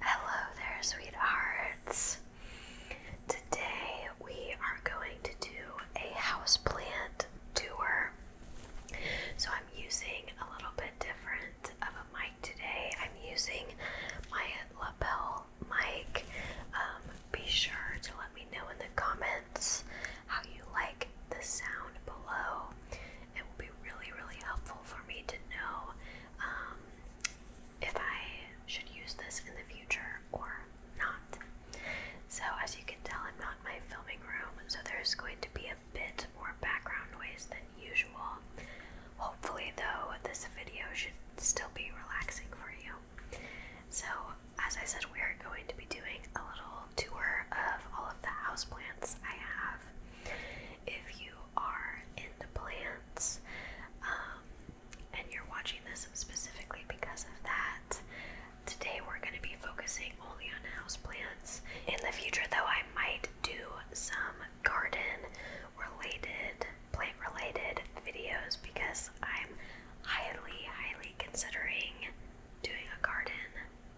Hello there, sweethearts. Today we are going to do a houseplant tour. So I'm using a little bit different of a mic today. I'm using my lapel mic. Um, be sure to let me know in the comments how you like the sound below. It will be really, really helpful for me to know um, if I should use this in the future or not. So, as you can tell, I'm not in my filming room, so there's going to be a bit more background noise than usual. Hopefully, though, this video should still be relaxing for you. So, as I said, we are going to be doing a little tour of all of the houseplants I have. If you are into plants, um, and you're watching this specifically because of that. Today we're going to be focusing only on houseplants. In the future, though, I might do some garden related, plant related videos because I'm highly, highly considering doing a garden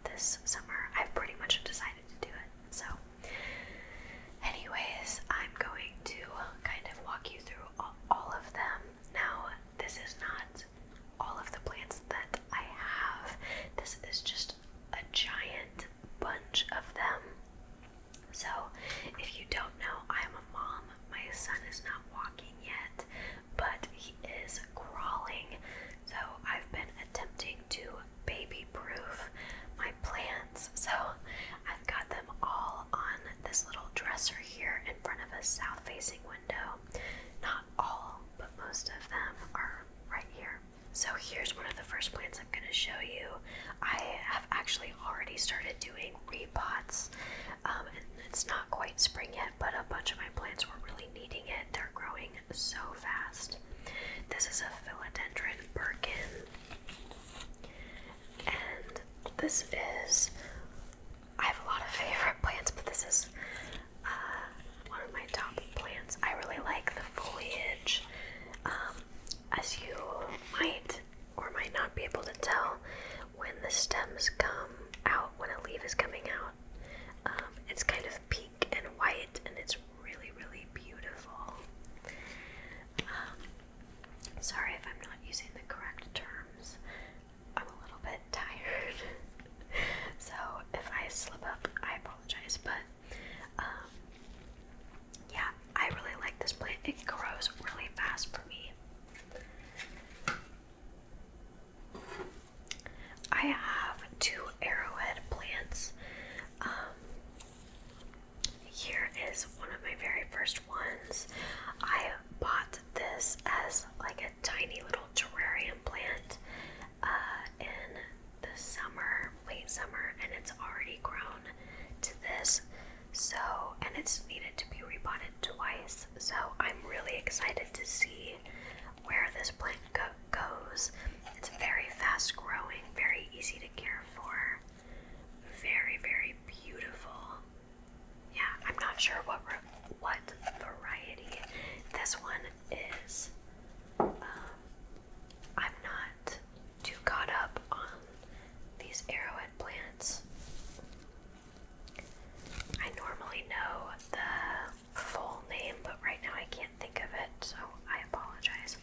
this summer. I've pretty much decided to do it. So Anyways, I'm going to kind of walk you through all, of them. Now, this is not all of the plants that I have, this is just a giant bunch of them. So, if you don't know, I'm a mom. My son is not walking yet, but he is crawling. So, I've been attempting to baby proof my plants. So I've got them all on this little dresser here in front of a south facing window. Not all, but most of them are right here. So here's one of the first plants I'm going to show you. I have actually already started doing repots. Um, and it's not quite spring yet, but a bunch of my plants were really needing it. They're growing so fast. This is a philodendron Birkin. And this is, I have a lot of favorite plants, but this is uh, one of my top plants. I really like the foliage. Um, as you might or might not be able to tell, when the stems come out, when a leaf is coming out, um, it's kind of and white, and it's really, really beautiful. Um, sorry if I'm not using the correct terms. I'm a little bit tired, so if I slip up, I apologize. But um, yeah, I really like this plant. It grows really fast for me. I have two arrowhead plants. Um, here is one of my very first ones. I bought this as like a tiny little terrarium plant uh, in the summer, late summer, and it's already grown to this. So, and it's needed to be repotted twice. So, I'm really excited to see where this plant goes goes. It's very fast growing, very easy to care for, very, very beautiful. Yeah, I'm not sure what what variety this one is. Um, I'm not too caught up on these arrowhead plants. I normally know the full name, but right now I can't think of it, so I apologize.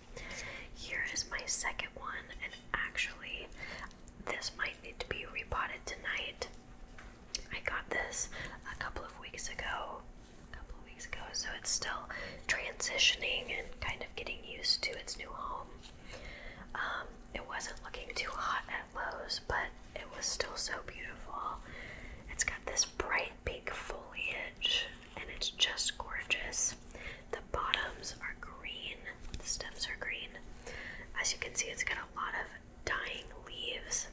Here is my second one, and actually, this might need to be repotted tonight. I got this a couple of weeks ago, a couple of weeks ago, so it's still transitioning and kind of getting used to its new home. Um, it wasn't looking too hot at Lowe's, but it was still so beautiful. It's got this bright pink foliage and it's just gorgeous. The bottoms are green, the stems are green. As you can see, it's got a lot of dying leaves,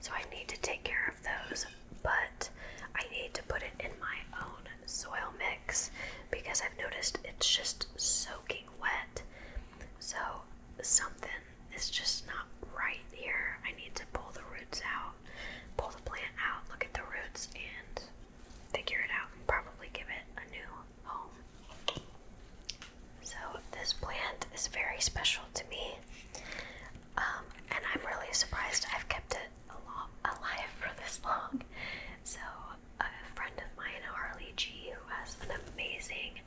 so I need to take care of those. But I need to put it in my own soil mix because I've noticed it's just soaking wet. So something is just not right here. I need to pull the roots out pull the plant out, look at the roots, and figure it out probably give it a new home. So, this plant is very special to me, um, and I'm really surprised I've kept it alive for this long. So, a friend of mine, Harley G, who has an amazing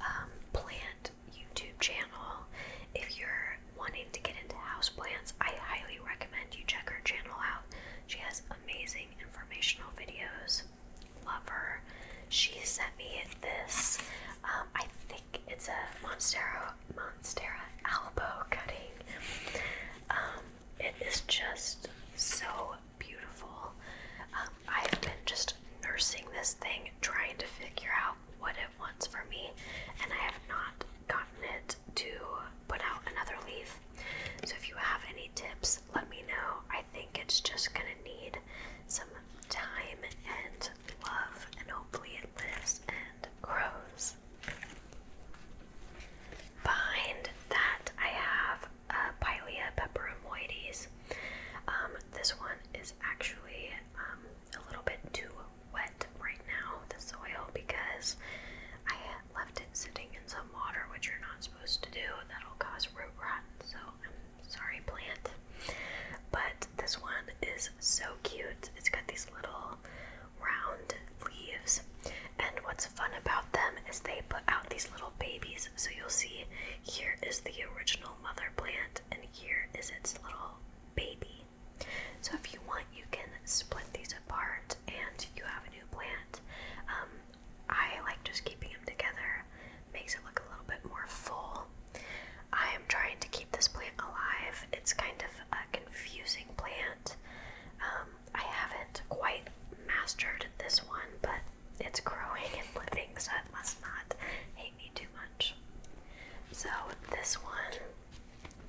um, plant YouTube channel. If you're wanting to get into houseplants, I highly recommend you check her channel out. She has amazing informational videos. Love her. She sent me this. Um, I think it's a Monstera Monstera elbow cutting. Um, it is just so beautiful. Um, I've been just nursing this thing trying to figure out what it wants from me, and I have not gotten it to put out another leaf. So if you have any tips, let me know. I think it's just gonna need some time and love, and hopefully it lives and grows. Behind that, I have uh, Pilea peperomoides. Um, this one is actually um, a little bit too wet right now, the soil, because I left it sitting in some water, which you're not supposed to do. That'll cause root rot. So I'm sorry, plant. But this one is so cute. It's got these little round leaves. And what's fun about them is they put out these little babies. So you'll see here is the original mother plant, and here is its little baby. So if you want, you can split these apart and you have a new plant. Um, I like just keeping them together, makes it look a little bit more full. I am trying to keep this plant alive. It's kind of a confusing plant. Um, I haven't quite mastered this one, but it's growing and living, so it must not hate me too much. So, this one,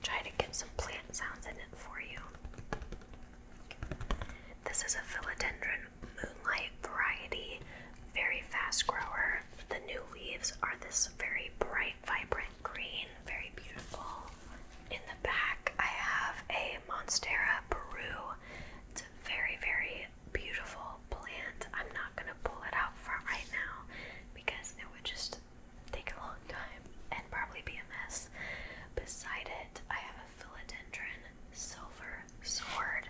try to get some plant sounds in it for you. This is a philodendron moonlight variety, very fast grower. The new leaves are this very bright, vibrant green, very beautiful. In the back, I have a Monstera Peru. It's very, very beautiful plant. I'm not gonna pull it out for right now because it would just take a long time and probably be a mess. Beside it, I have a philodendron silver sword.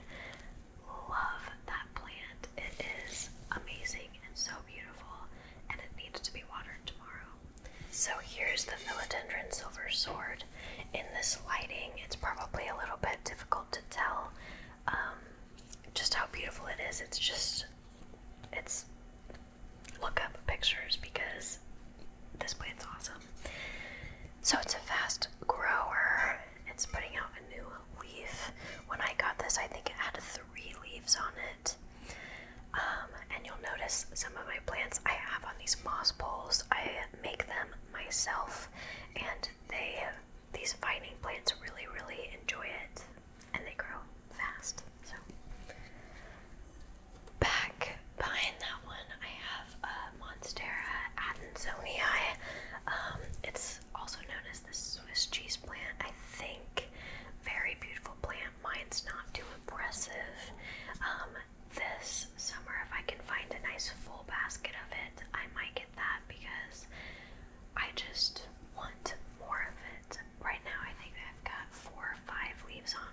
Love that plant. It is amazing and so beautiful, and it needs to be watered tomorrow. So here's the philodendron silver sword. In this lighting, it's probably a little bit difficult to tell. Um, just how beautiful it is. It's just, it's, look up pictures because this plant's awesome. So it's a fast grower. It's putting out a new leaf. When I got this, I think it had three leaves on it. Um, and you'll notice some of my plants I have on these moss poles. I make them myself and they these fighting plants really, really enjoy it and they grow fast. So, back behind that one, I have a uh, Monstera adansonii. Um, it's also known as the Swiss cheese plant, I think. Very beautiful plant. Mine's not too impressive. Um, this summer, if I can find a nice full basket of it, I might get that because I just want more of it. Right now, I think I've got four or five leaves on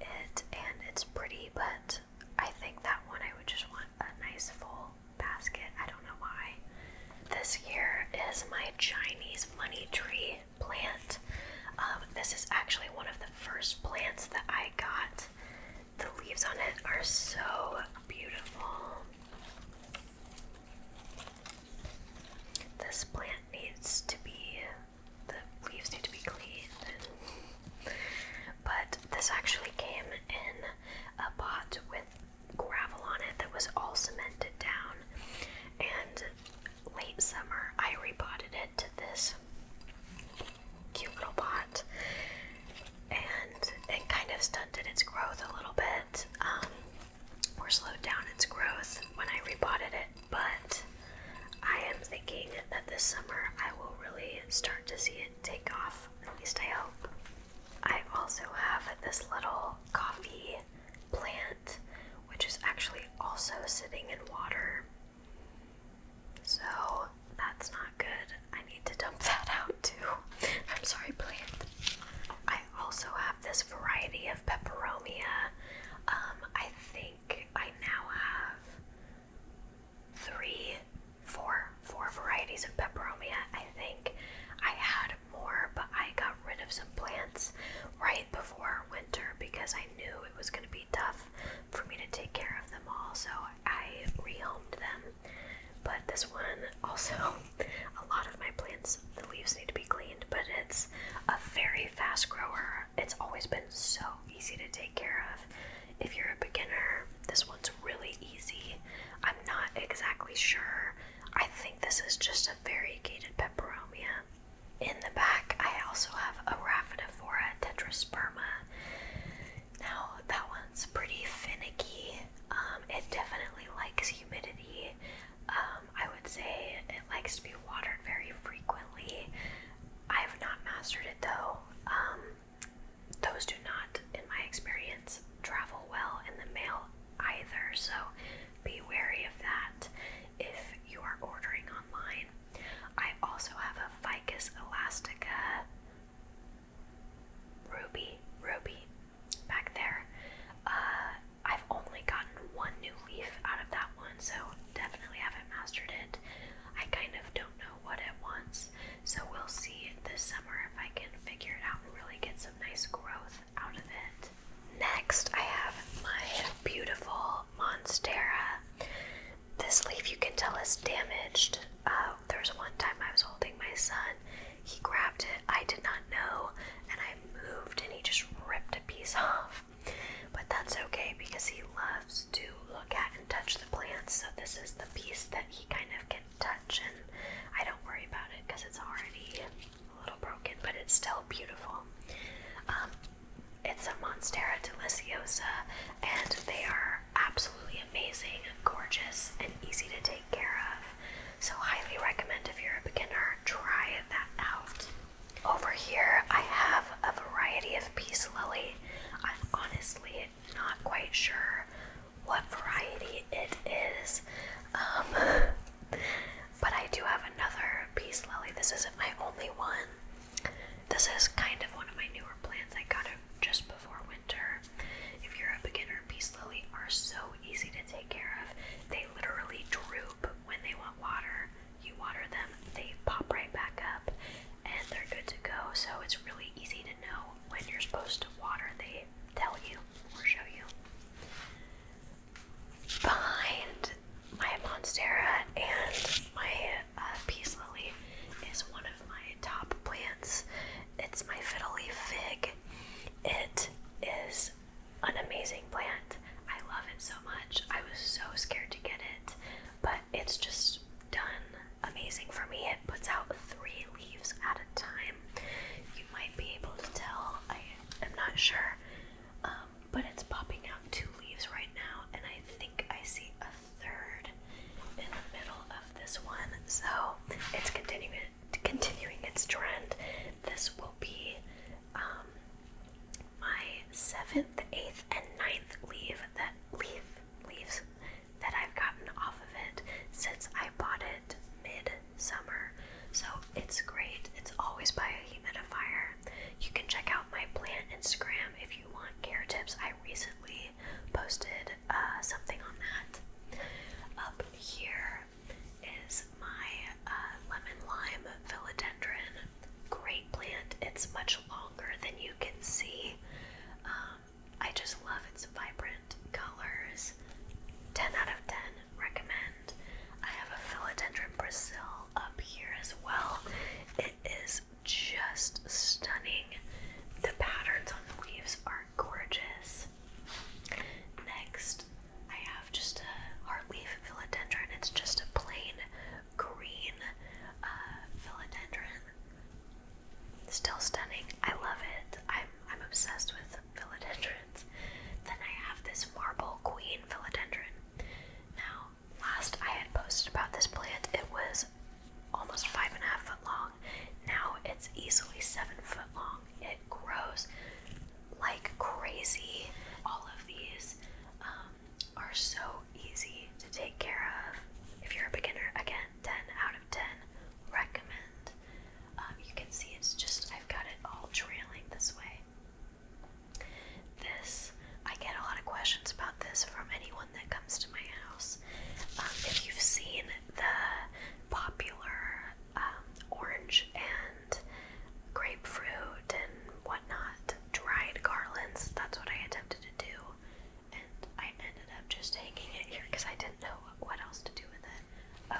it, and it's pretty, but I think that one I would just want a nice full basket. I don't know why. This here is my Chinese money tree plant. Um, this is actually one of the first plants that I got. The leaves on it are so beautiful. This plant needs to be, the leaves need to be cleaned. But this actually came in a pot with gravel on it that was all cemented down. And late summer, I repotted it to this cute little pot and it kind of stunted its growth a little bit um, or slowed down its growth when I repotted it. But I am thinking that this summer I will really start to see it take off, at least I hope. I also have this little coffee plant, which is actually also sitting in water. So that's not good. I need to dump that out too. I'm sorry, plant. I also have this variety of peperomia. Um, I think I now have three, four, four varieties of peperomia. I think I had more, but I got rid of some plants right before winter because I knew it was going to be tough for me to take care of them all. So I rehomed them. But this one also, a lot of my plants, the leaves need to be cleaned, but it's a very fast grower. It's always been so easy to take care of. If you're a beginner, this one's really easy. I'm not exactly sure. I think this is just a variegated peperomia. In the back, I also have a Raphidophora tetrasperma. Now that one's pretty finicky. Um, it definitely likes humidity. Um, I would say it likes to be watered very frequently. I have not mastered it though. Um, those do not, in my experience, travel well in the mail either, so be wary of that if you are ordering online. I also have a Ficus elastica Ruby, Ruby, back there. Uh, I've only gotten one new leaf out of that one, so definitely haven't mastered it. I kind of don't know what it wants, so we'll see this summer if I can figure it out and really get some nice growth out of it. Next, I have my beautiful Monstera. This leaf you can tell is damaged. Uh, there was one time I was holding my son. He grabbed it. I did not know, and I moved, and he just ripped a piece off. But that's okay because he loves to look at and touch the plants. So this is the piece that he kind of can touch, and I don't worry about it because it's already a little broken, but it's still beautiful. Um, it's a Monstera deliciosa, and they are absolutely amazing, gorgeous, and easy to take care of. So, highly recommend if you're a beginner, try that out. Over here, I have a variety of peace lily. I'm honestly not quite sure what variety it is, um, but I do have another peace lily. This isn't my only one. This is kind of one of my newer plants. I got it just before winter. If you're a beginner, peace lily are so easy to take care of. They literally droop when they want water. You water them, they pop right back up, and they're good to go. So it's really easy to know when you're supposed to water. They tell you or show you. Behind my monstera and my uh, peace lily is one of my top plants. It's my fiddle leaf fig. It is an amazing plant. I love it so much. I was so scared to get it, but it's just done amazing for me. It puts out three leaves at a time. You might be able to tell, I am not sure, um, but it's popping out two leaves right now, and I think I see a third in the middle of this one, so it's continuing continuing its trend. This will be um, my seventh, eighth, and ninth leaf that leaf leaves that I've gotten off of it since I bought it mid-summer. So it's great. It's always by a humidifier. You can check out my plant Instagram if you want care tips. I recently posted uh, something on that. Up here is my uh, lemon lime philodendron. Great plant. It's much longer than you can see. Um, I just love its vibrant colors. 10 out of 10 recommend. I have a philodendron Brazil up here as well. It is just stunning. The patterns on the leaves are gorgeous. Next, I have just a heartleaf philodendron. It's just a plain green uh, philodendron. Still stunning. I love it. I'm I'm obsessed with philodendrons. Then I have this marble queen philodendron. Now, last I had posted about this plant, it was almost five and a half foot long. Now it's easily seven foot long. It grows like crazy. All of these um, are so easy to take care of. If you're a beginner, again, 10 out of 10 recommend. Um, you can see it's just, I've got it all trailing this way. This, I get a lot of questions about this from anyone that comes to my house. Um, if you've seen the popular um, orange and grapefruit and whatnot dried garlands, that's what I attempted to do, and I ended up just hanging it here because I didn't know what else to do with it.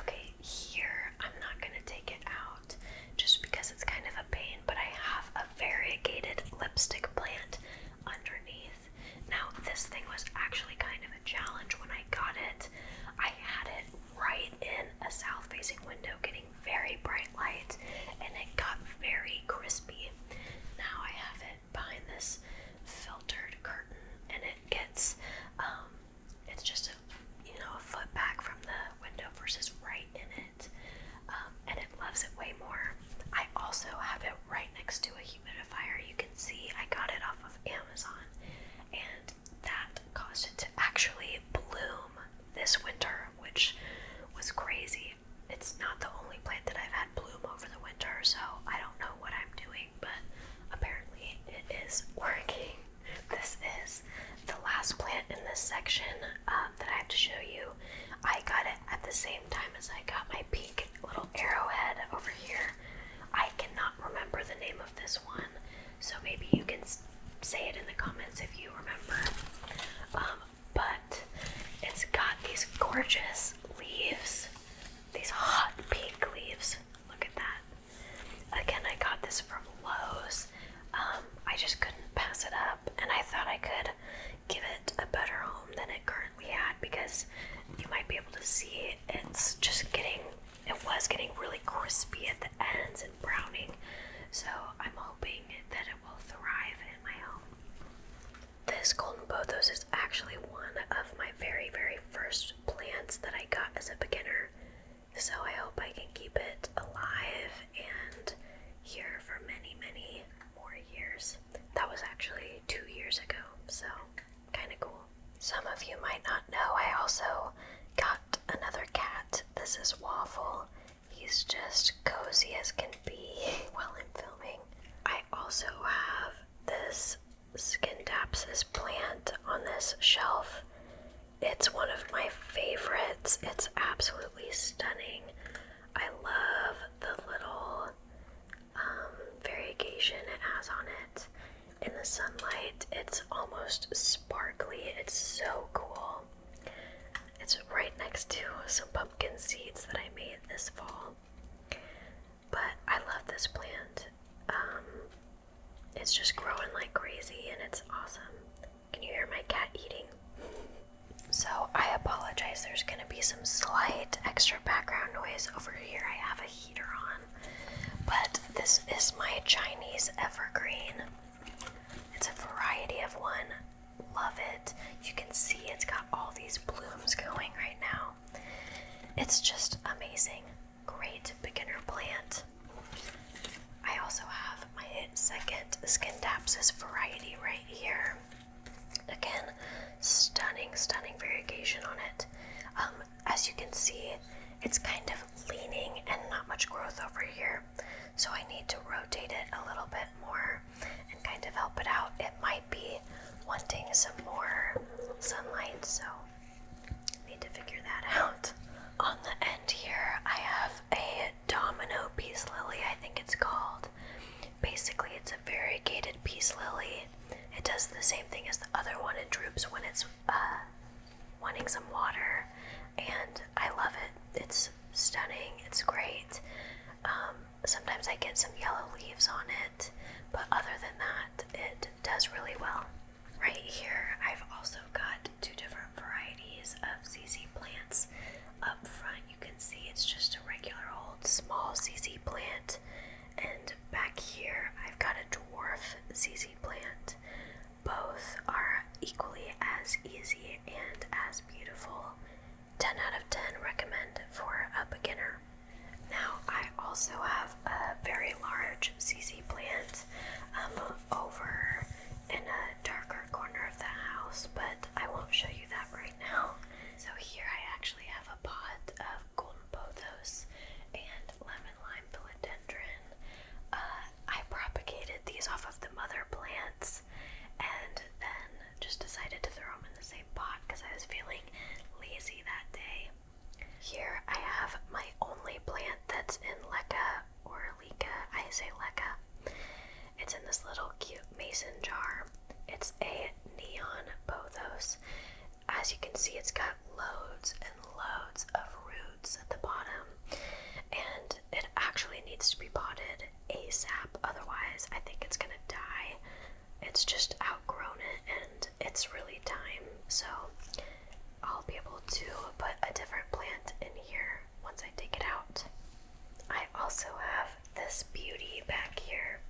Okay, here I'm not gonna take it out just because it's kind of a pain, but I have a variegated lipstick plant underneath now, this thing was actually kind of a challenge when I got it. I had it right in a south facing window, getting very bright light, and it got very crispy. Now I have it behind this filtered curtain, and it gets um, it's just a you know a foot back from the window versus right in it. Um, and it loves it way more. I also have it right next to a humidifier. You can see I got it off of Amazon, and that caused it to actually bloom this winter, which was crazy. It's not the only plant that I've had bloom over the winter, so I don't know what I'm doing, but apparently it is working. This is the last plant in this section um, that I have to show you. I got it at the same time as I got my pink little arrowhead over here. I cannot remember the name of this one, so maybe you can say it in the comments if you remember. Um, but it's got these gorgeous leaves, these hot pink leaves. Look at that. Again, I got this from Lowe's. Um, I just couldn't pass it up, and I thought I could give it a better home than it currently had because you might be able to see it's just getting it was getting really crispy at the ends and browning so I'm hoping that it will thrive in my home. This golden pothos is actually one of my very very first plants that I got as a beginner so I hope I can keep it alive and here for many many more years. That was actually two years ago, so kind of cool. Some of you might not know, I also got another cat. This is Waffle. He's just cozy as can be while I'm filming. I also have this Skindapsis plant on this shelf. It's one of my favorites. It's absolutely stunning. I love the little um, variegation it has on it in the sunlight. It's almost sparkly. It's so cool. It's right next to some pumpkin seeds that I made this fall. But I love this plant. Um, it's just growing like crazy and it's awesome. Can you hear my cat eating? So I apologize, there's gonna be some slight extra background noise over here. I have a heater on, but this is my Chinese evergreen. It's a variety of one. Love it. You can see it's got all these blooms going right now. It's just amazing. Great beginner plant. I also have my second Skindapsis variety right here. Again, stunning, stunning variegation on it. Um, as you can see, it's kind of leaning and not much growth over here. So I need to rotate it a little bit more and kind of help it out. It might be wanting some more sunlight, so need to figure that out. On the end here, I have a domino peace lily, I think it's called. Basically, it's a variegated peace lily. It does the same thing as the other one. It droops when it's uh, wanting some water, and I love it. It's stunning. It's great. Um, sometimes I get some yellow leaves on it, but other than that, it does really well. Right here, I've also got two different varieties of ZZ plants up front you can see it's just a regular old small ZZ plant. And back here, I've got a dwarf ZZ plant. Both are equally as easy and as beautiful. 10 out of 10 recommend for a beginner. Now, I also have a very large ZZ plant um, over in a darker corner of the house, but I won't show you that right now. So here I actually have a pot of golden pothos and lemon lime philodendron. Uh, I propagated these off of the mother plants and then just decided to throw them in the same pot because I was feeling lazy that day. Here I have my only plant that's in leca or leca. I say leca. It's in this little cute mason jar. It's a neon pothos. As you can see, it's got loads and loads of roots at the bottom, and it actually needs to be potted ASAP, otherwise, I think it's gonna die. It's just outgrown it, and it's really time. So, I'll be able to put a different plant in here once I take it out. I also have this beauty back here.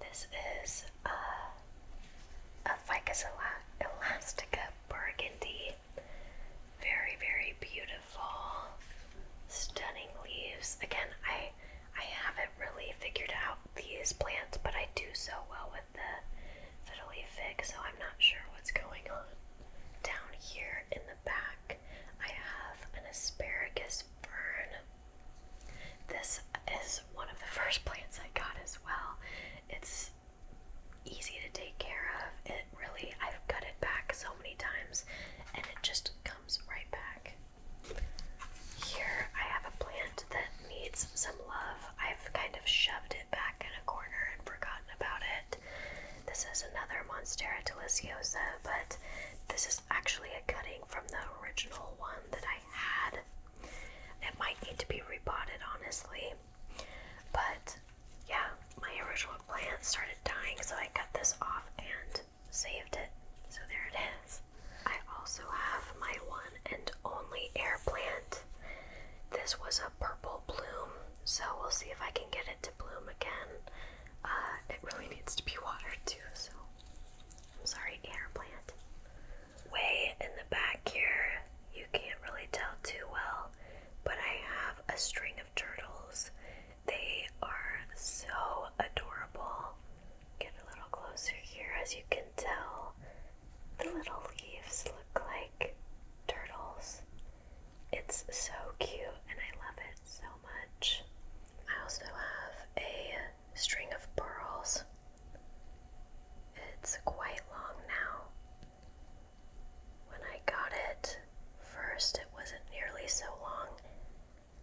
This is a, a Ficus elastica burgundy. Very, very beautiful. Stunning leaves. Again, I I haven't really figured out these plants, but I do so well with the fiddly fig, so I'm not sure what's going on down here in the back. I have an asparagus fern. This is one of the first plants I got as well. It's easy to take care of. It really, I've cut it back so many times and it just comes right back. Here I have a plant that needs some love. I've kind of shoved it back in a corner and forgotten about it. This is another Monstera Deliciosa, but this is actually a cutting from the original one that I had. It might need to be repotted, honestly. But yeah, my original plant started dying, so I cut this off and saved it. So there it is. I also have my one and only air plant. This was a purple bloom, so we'll see if I can get it bloom again, uh, it really needs to be watered too. So, I'm sorry, air plant. Way in the back here, you can't really tell too well, but I have a string of turtles. They are so adorable. Get a little closer here, as you can tell, the little leaves look like turtles. It's so cute and I love it so much. I also have a string of pearls. It's quite long now. When I got it first, it wasn't nearly so long,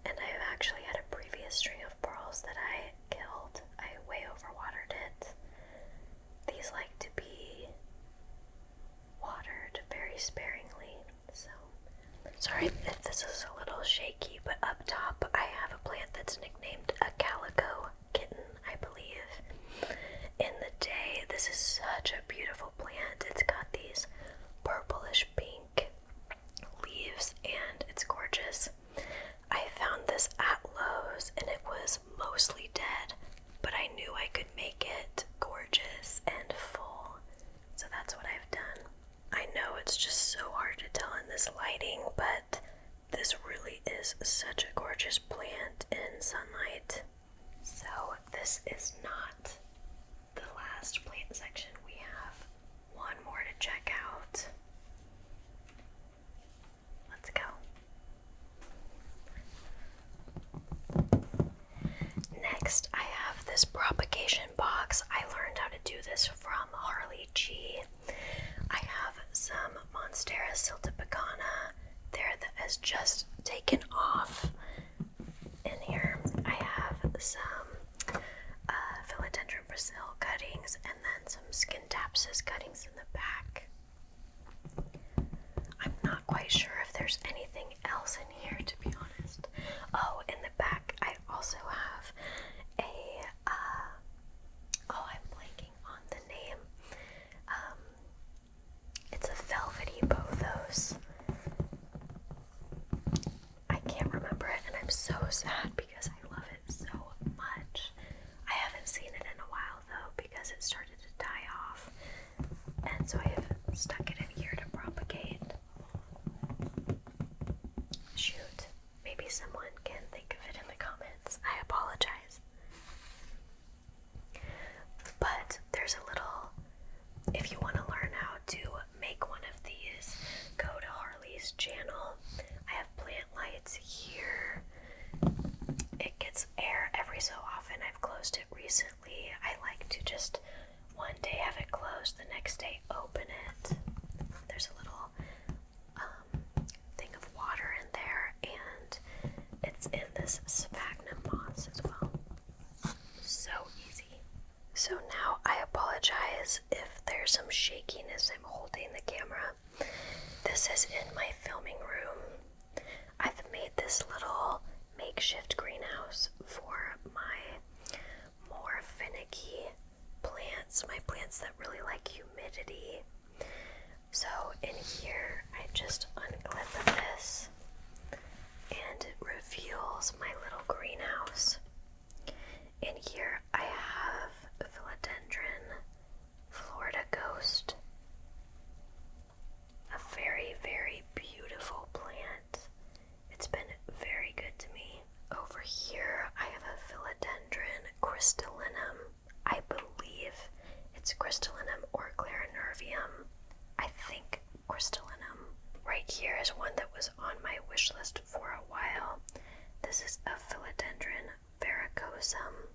and I've actually had a previous string of pearls that I killed. I way overwatered it. These like to be watered very sparingly. So, sorry if this is a little shaky, but up top I have a plant that's nicknamed a calico kitten, I believe. In the day, this is such a beautiful plant. It's got these purplish pink leaves and it's gorgeous. I found this at Lowe's and it was mostly dead, but I knew I could make it gorgeous and full. So that's what I've done. I know it's just so hard to tell in this lighting, but this really is such a gorgeous plant in sunlight. So, this is not the last plant section. We have one more to check out. Let's go. Next, I have this propagation box. I learned how to do this from Harley G. I have some Monstera siltipicana there that has just taken off in here. I have some uh, philodendron Brazil cuttings and then some skin cuttings in the back. I'm not quite sure if there's anything else in here, to be honest. Oh, in the back, I also have a. Uh, oh, I'm blanking on the name. Um, it's a velvety Bothos. I can't remember it, and I'm so sad because I love it so much. I haven't seen it in a while though because it started to die off and so I have stuck it in here to propagate. Shoot, maybe someone can think of it in the comments. I apologize. But there's a little, if you want to learn how to make one of these, go to Harley's channel. I have plant lights here. It gets air every so often. I've closed it recently. I like to just one day have it closed, the next day open it. There's a little um, thing of water in there, and it's in this sphagnum moss as well. So easy. So now I apologize if there's some shakiness. I'm holding the camera. This is in my filming room. I've made this little makeshift greenhouse for my more finicky plants, my plants that really like humidity. So in here, I just unclip this and it reveals my little greenhouse. In here, I have a philodendron, Florida ghost, a very, very beautiful plant. It's been very good to me. Over here, I have a philodendron crystallinum. I believe it's crystallinum or clarinervium. I think crystallinum. Right here is one that was on my wish list for a while. This is a philodendron varicosum.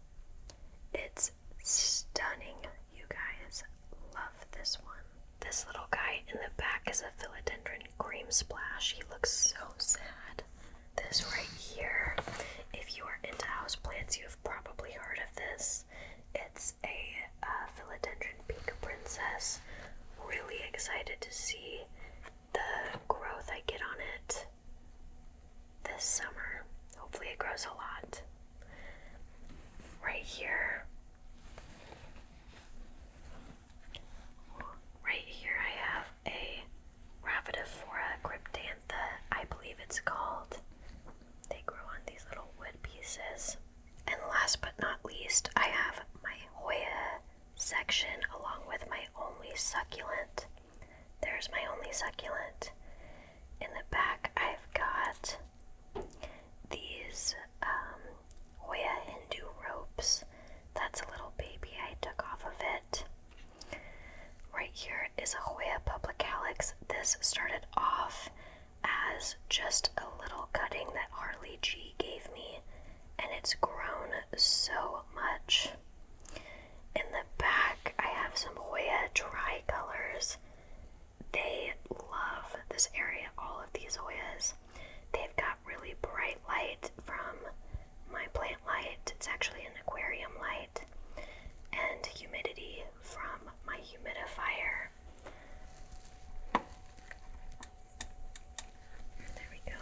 It's stunning. You guys love this one. This little guy in the back is a philodendron cream splash. He looks so sad. This right here, if you are into houseplants, you've probably heard of this. It's a uh, philodendron pink princess. Really excited to see the growth I get on it this summer. Hopefully, it grows a lot. Right here, right here, I have a Rapidophora cryptantha, I believe it's called. They grow on these little wood pieces. And last but not least, I have my Hoya section along with my only succulent. There's my only succulent. In the back, I've got these um, Hoya Hindu ropes. That's a little baby I took off of it. Right here is a Hoya Publicalyx. This started off as just a little cutting that Harley G gave me, and it's grown so much. In the back, I have some Hoya dry colors. They love this area, all of these Hoyas. They've got really bright light from my plant light. It's actually an aquarium light. And humidity from my humidifier. There we go.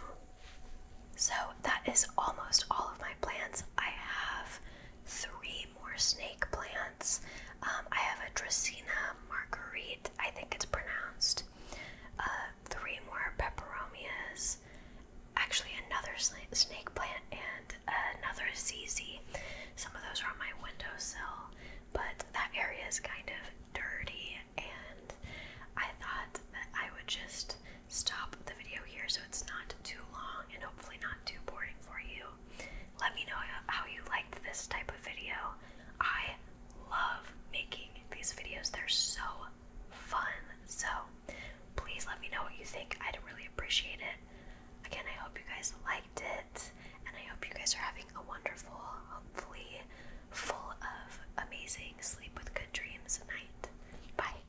So that is almost all of my plants. I have three more snake plants. Um, I have a Dracaena marguerite, I think it's pronounced. Uh, three more peperomias, actually another snake plant and another ZZ. Some of those are on my windowsill, but that area is kind of dirty, and I thought that I would just stop the video here so it's not too long and hopefully not too boring for you. Let me know how you liked this type of video. I love making these videos, they're so fun. So please let me know what you think. I'd really appreciate it. Again, I hope you guys liked it, and I hope you guys are having a wonderful, hopefully full of amazing sleep with good dreams night. Bye.